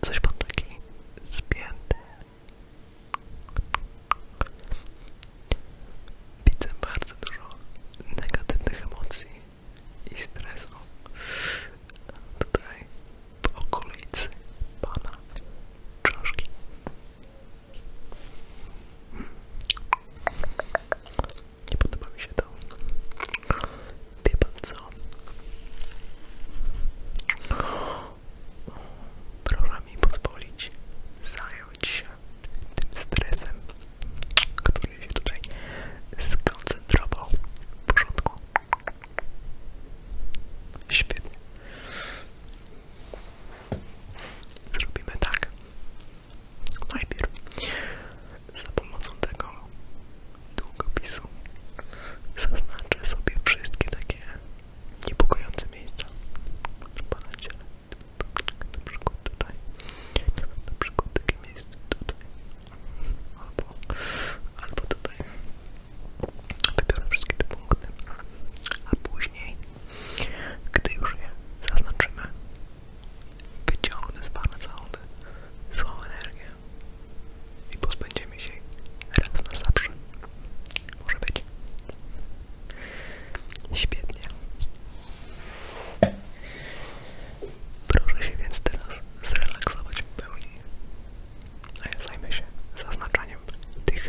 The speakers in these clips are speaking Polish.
Coś pan taki spięty. Widzę bardzo dużo negatywnych emocji i stresu tutaj po okolicy pana czaszki. Nie podoba mi się to. Wie pan Proszę mi pozwolić zająć się tym stresem, który się tutaj skoncentrował. W porządku. Zrobimy tak. Najpierw za pomocą tego długopisu zaznaczę sobie wszystkie takie niepokojące miejsca. Chyba na ciele. Na przykład tutaj. Na przykład takie miejsce tutaj. Albo, albo tutaj. Wybiorę wszystkie te punkty. A później gdy już je zaznaczymy, wyciągnę z Pana całą złą energię i pozbędziemy się raz na zawsze. Może być. Świetnie. Proszę się więc teraz zrelaksować w pełni, a ja zajmę się zaznaczaniem tych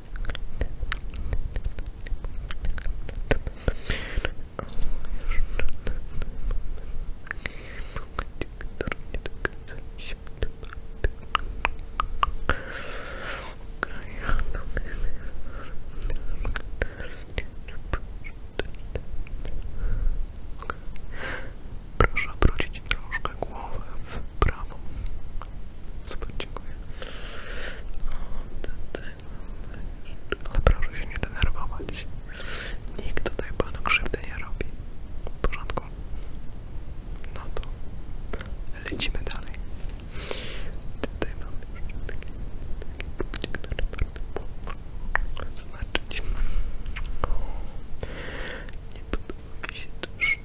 Proszę obrócić troszkę głowę w prawo. Super, dziękuję. Ale proszę się nie denerwować. Nikt tutaj panu krzywdy nie robi. W porządku? No to lecimy dalej. Tutaj mam jeszcze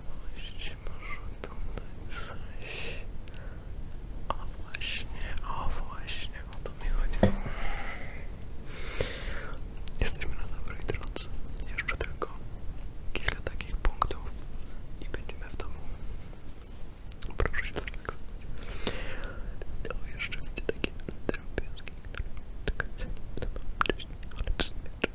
wiadomość może oglądać coś. O właśnie, o właśnie, o to mi chodziło. Jesteśmy na dobrej drodze. Jeszcze tylko kilka takich punktów i będziemy w domu. Proszę się zrelaksować. To jeszcze widzę takie drobioski, które czekać, ale w sumie czemu?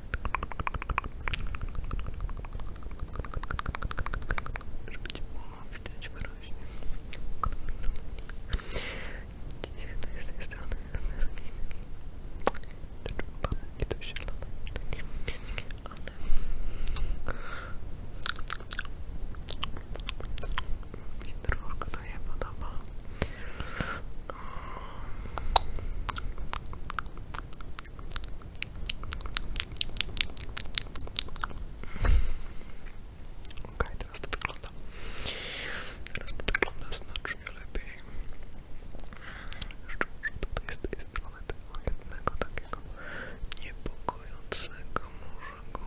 Żeby cię było widać wyraźnie. Dzisiaj tutaj z tej strony i to się lata. Ale mi trochę to nie podoba. Okej, okay, teraz to wygląda. znacznie lepiej. Jeszcze może tutaj jest. tej strony tego jednego takiego niepokojącego może go...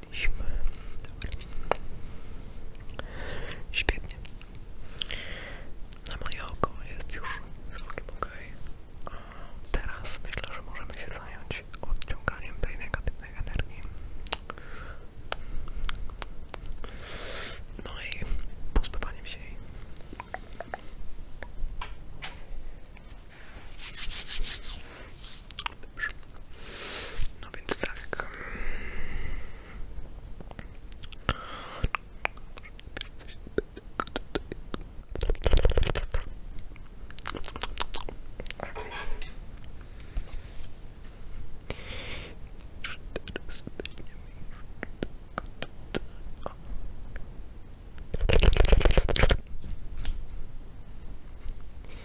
byliśmy. Dobra. Świetnie. Na moje oko jest już całkiem ok. teraz myślę, że możemy się zająć odciąganiem tej negatywnej energii. No i pozbywaniem się jej. Dobrze. No więc tak.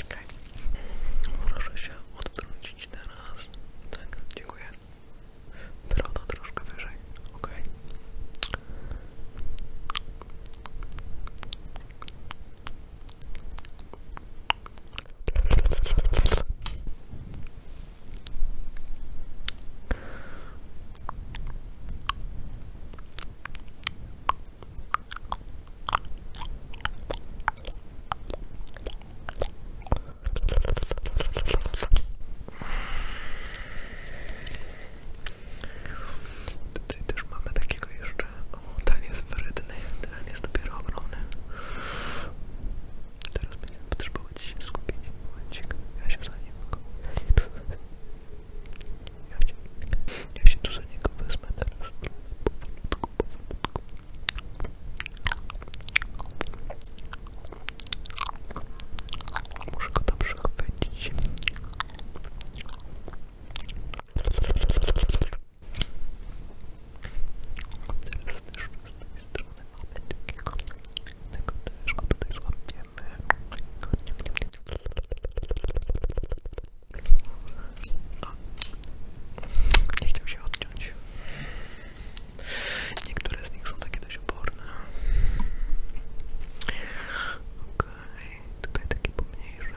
Okay. Proszę się odtrącić teraz. Tak, dziękuję. Broda troszkę wyżej. Ok. Tutaj też mamy takiego jeszcze. O, ten jest wyrydny, ten jest dopiero ogromny. Teraz będziemy potrzebować się skupienia. Momencik, ja się za niego... Ja się, ja się tu za niego wezmę teraz. Powolutku, powolutku. Muszę go tam przechwycić. Teraz też z tej strony mamy takiego, tego też go tutaj złapiemy. A, nie chciał się odciąć. Niektóre z nich są takie dość oporne. Okej, okay, tutaj takie pomniejsze.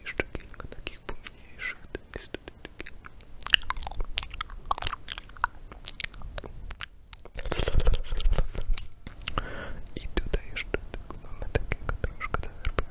jeszcze kilka takich pomniejszych tekstów. I tutaj jeszcze tylko mamy takiego troszkę derbiatek.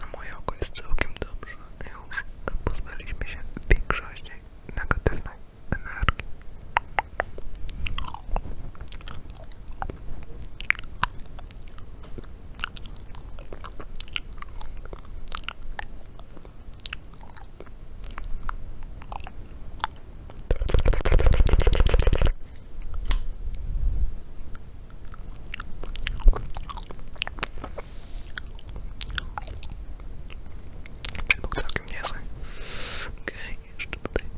Na moje oko jest całkiem dobrze. Już pozbyliśmy się większości negatywnej energii. Był całkiem niezły. Okej, okay, jeszcze tutaj.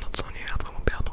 No co, nie jadłem obiadu.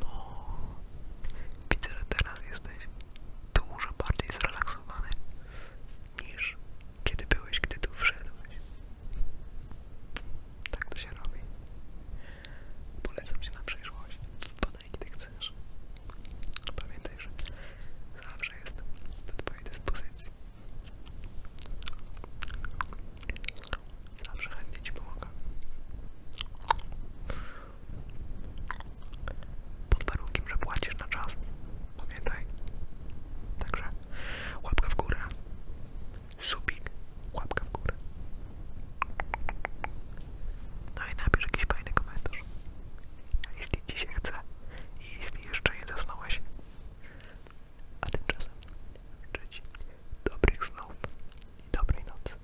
No, widzę, że teraz jesteś dużo bardziej zrelaksowany niż kiedy byłeś, gdy tu wszedłeś. Tak to się robi. Polecam Cię na przyszłość. Wpadaj, kiedy chcesz. Pamiętaj, że zawsze jest do Twojej dyspozycji. Zawsze chętnie Ci pomogę. Pod warunkiem, że płacisz na czas. Pamiętaj. Także łapka w górę. Subik. Łapka w górę. No i napisz jakiś fajny komentarz. Jeśli Ci chce i jeśli jeszcze nie zasnąłeś. A tymczasem życzę Ci dobrych snów i dobrej nocy.